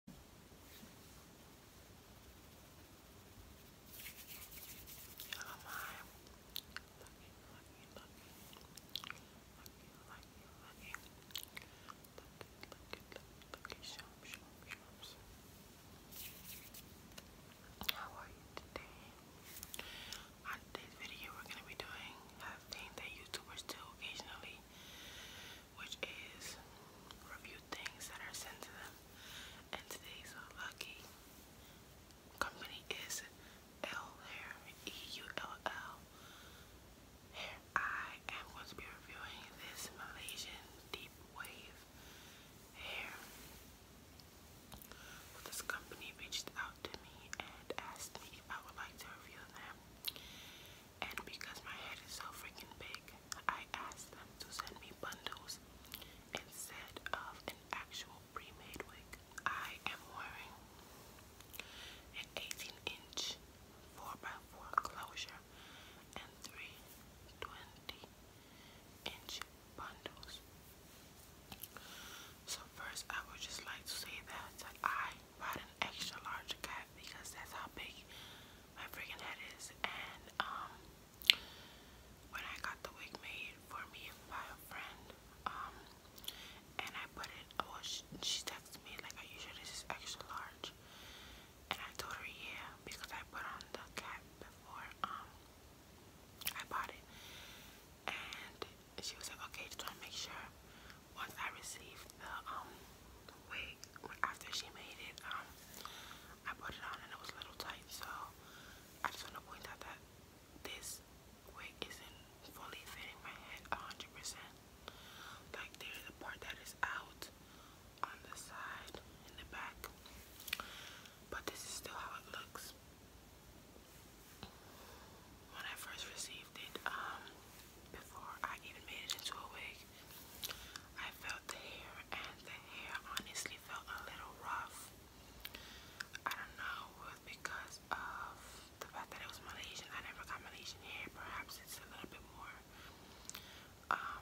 Hello, mom. How are you today? On today's video, we're going to be doing a that YouTubers do occasionally which is review things that are sent to them. And today's lucky company is L Hair, E-U-L-L Hair. I am going to be reviewing this Malaysian Deep Wave Hair. this company reached out to me and asked me if I would like to review them. And because my head is so freaking big, I asked them to send me bundles instead of an actual pre-made wig. I am wearing an 18 inch 4x4 closure and three inch bundles. So first I would just like to say that I bought an extra large cup because that's how big my freaking head is. And um, when I got the wig made for me by a friend, um, and I put it, oh, she, she texted me like, "Are you sure this is extra large?" And I told her, "Yeah," because I put on the cap before um I bought it and she was like, okay, just want to make sure once I receive the um, wig after she made it, um, I put it on and it was a little tight, so I just want to point out that this wig isn't fully fitting my head 100%. Like there's a part that is out on the side in the back, but this is still how it looks. When I first received it, um, before I even made it into a wig, I felt the hair, and the hair honestly felt a little rough. I don't know, was because of the fact that it was Malaysian. I never got Malaysian hair. Perhaps it's a little bit more um,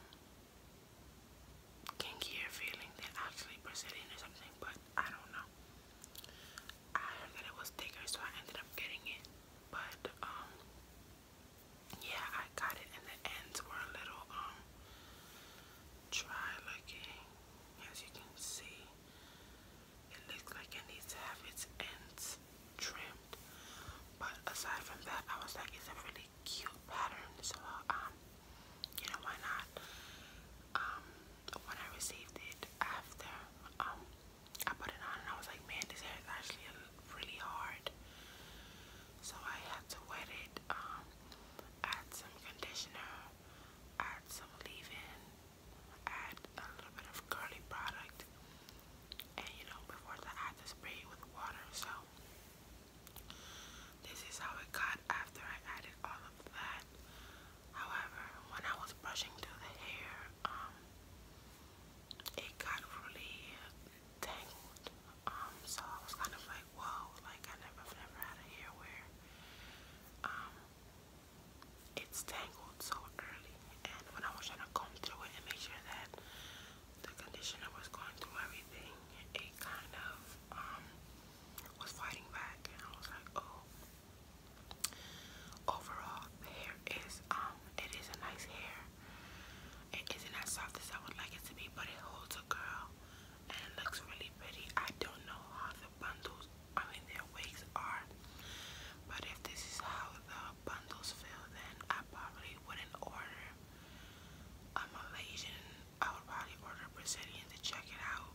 feeling than actually Brazilian or something, but I don't know. I heard that it was thicker, so I ended up getting it. But um, yeah, I got it, and the ends were a little um dry looking, as you can see. It looks like it needs to have its ends trimmed. But aside from that, I was like, it's a really cute pattern, so um, you know why not? Um, when I received it after, um, I put it on and I was like, man, this hair is actually really hard. So I had to wet it, um, add some conditioner, add some leave-in, add a little bit of curly product, and you know, before that I had spray with water. So this is how it got after I added all of that. However, when I was brushing through the hair, um, it got really tangled. Um, so I was kind of like, whoa, like I never, never had a hair where, um, it's tangled so early. And when I was trying to comb through it and make sure that the conditioner was going through everything, it kind of, um, was fighting back and I was like, oh. Overall, the hair is, um, it is a nice hair. It isn't as soft as I would like it to be, but it holds a girl, and it looks really pretty. I don't know how the bundles, I mean their wigs are, but if this is how the bundles feel, then I probably wouldn't order a Malaysian I would probably order Brazilian to check it out.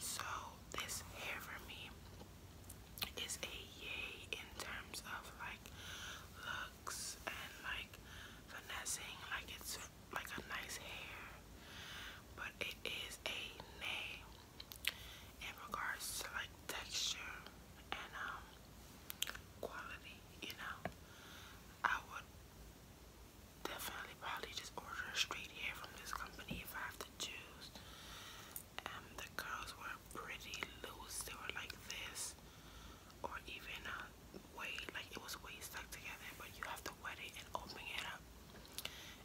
So this hair for me is a yay in terms of like looks and like finessing, like it's like a nice hair, but it is a nay in regards to like texture and um quality, you know. I would definitely probably just order straight hair from this company if I have to choose. Um, the curls were pretty loose. They were like this, or even a way like it was way stuck together. But you have to wet it and open it up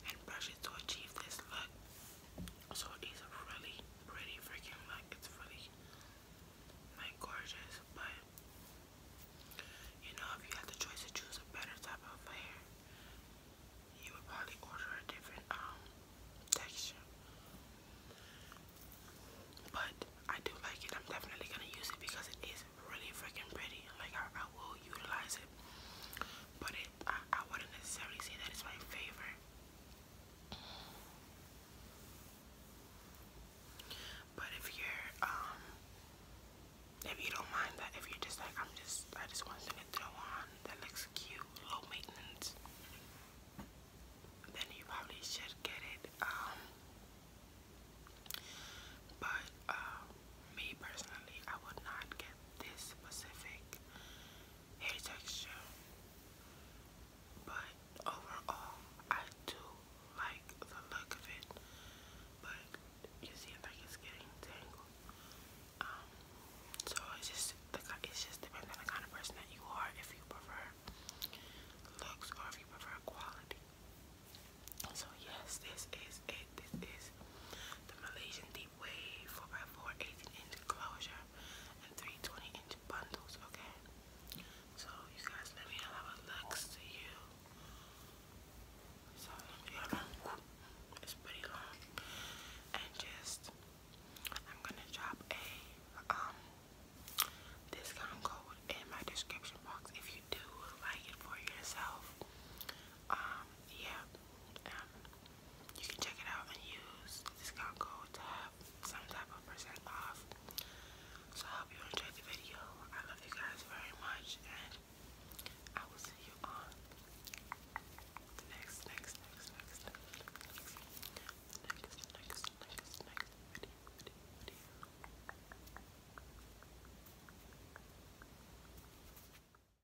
and brush it to achieve this look. So it's really pretty freaking look. It's really my gorgeous, but you know, if you had the choice to choose a better type of hair, you would probably order a different um texture. But I do like it. I'm definitely gonna use it because it is really freaking pretty. Like I, will utilize it, but I wouldn't necessarily say that it's my favorite but if you're, um, if you don't mind that, if you're just like, I'm just, I just want something to throw on that looks cute, low maintenance, then you probably should get it. Um, but, um, me personally, I would not get this specific hair texture. But overall, I do like the look of it. But you see, like it's getting tangled. Um, so it's just the it's just depends on the kind of person that you are. If you prefer looks or if you prefer quality. So yes, this is it. This is the Malaysian Deep Wave 4x4 inch closure and three inch bundles, okay? So, you guys, let me know how it to you. it's pretty long. And just, I'm gonna drop a um, discount code in my description box if you do like it for yourself. Um, yeah you can check it out and use the code to have some type of percent off. So I hope you enjoyed the video. I love you guys very much and I will see you on next, next, next, next, next, next, next, next, video.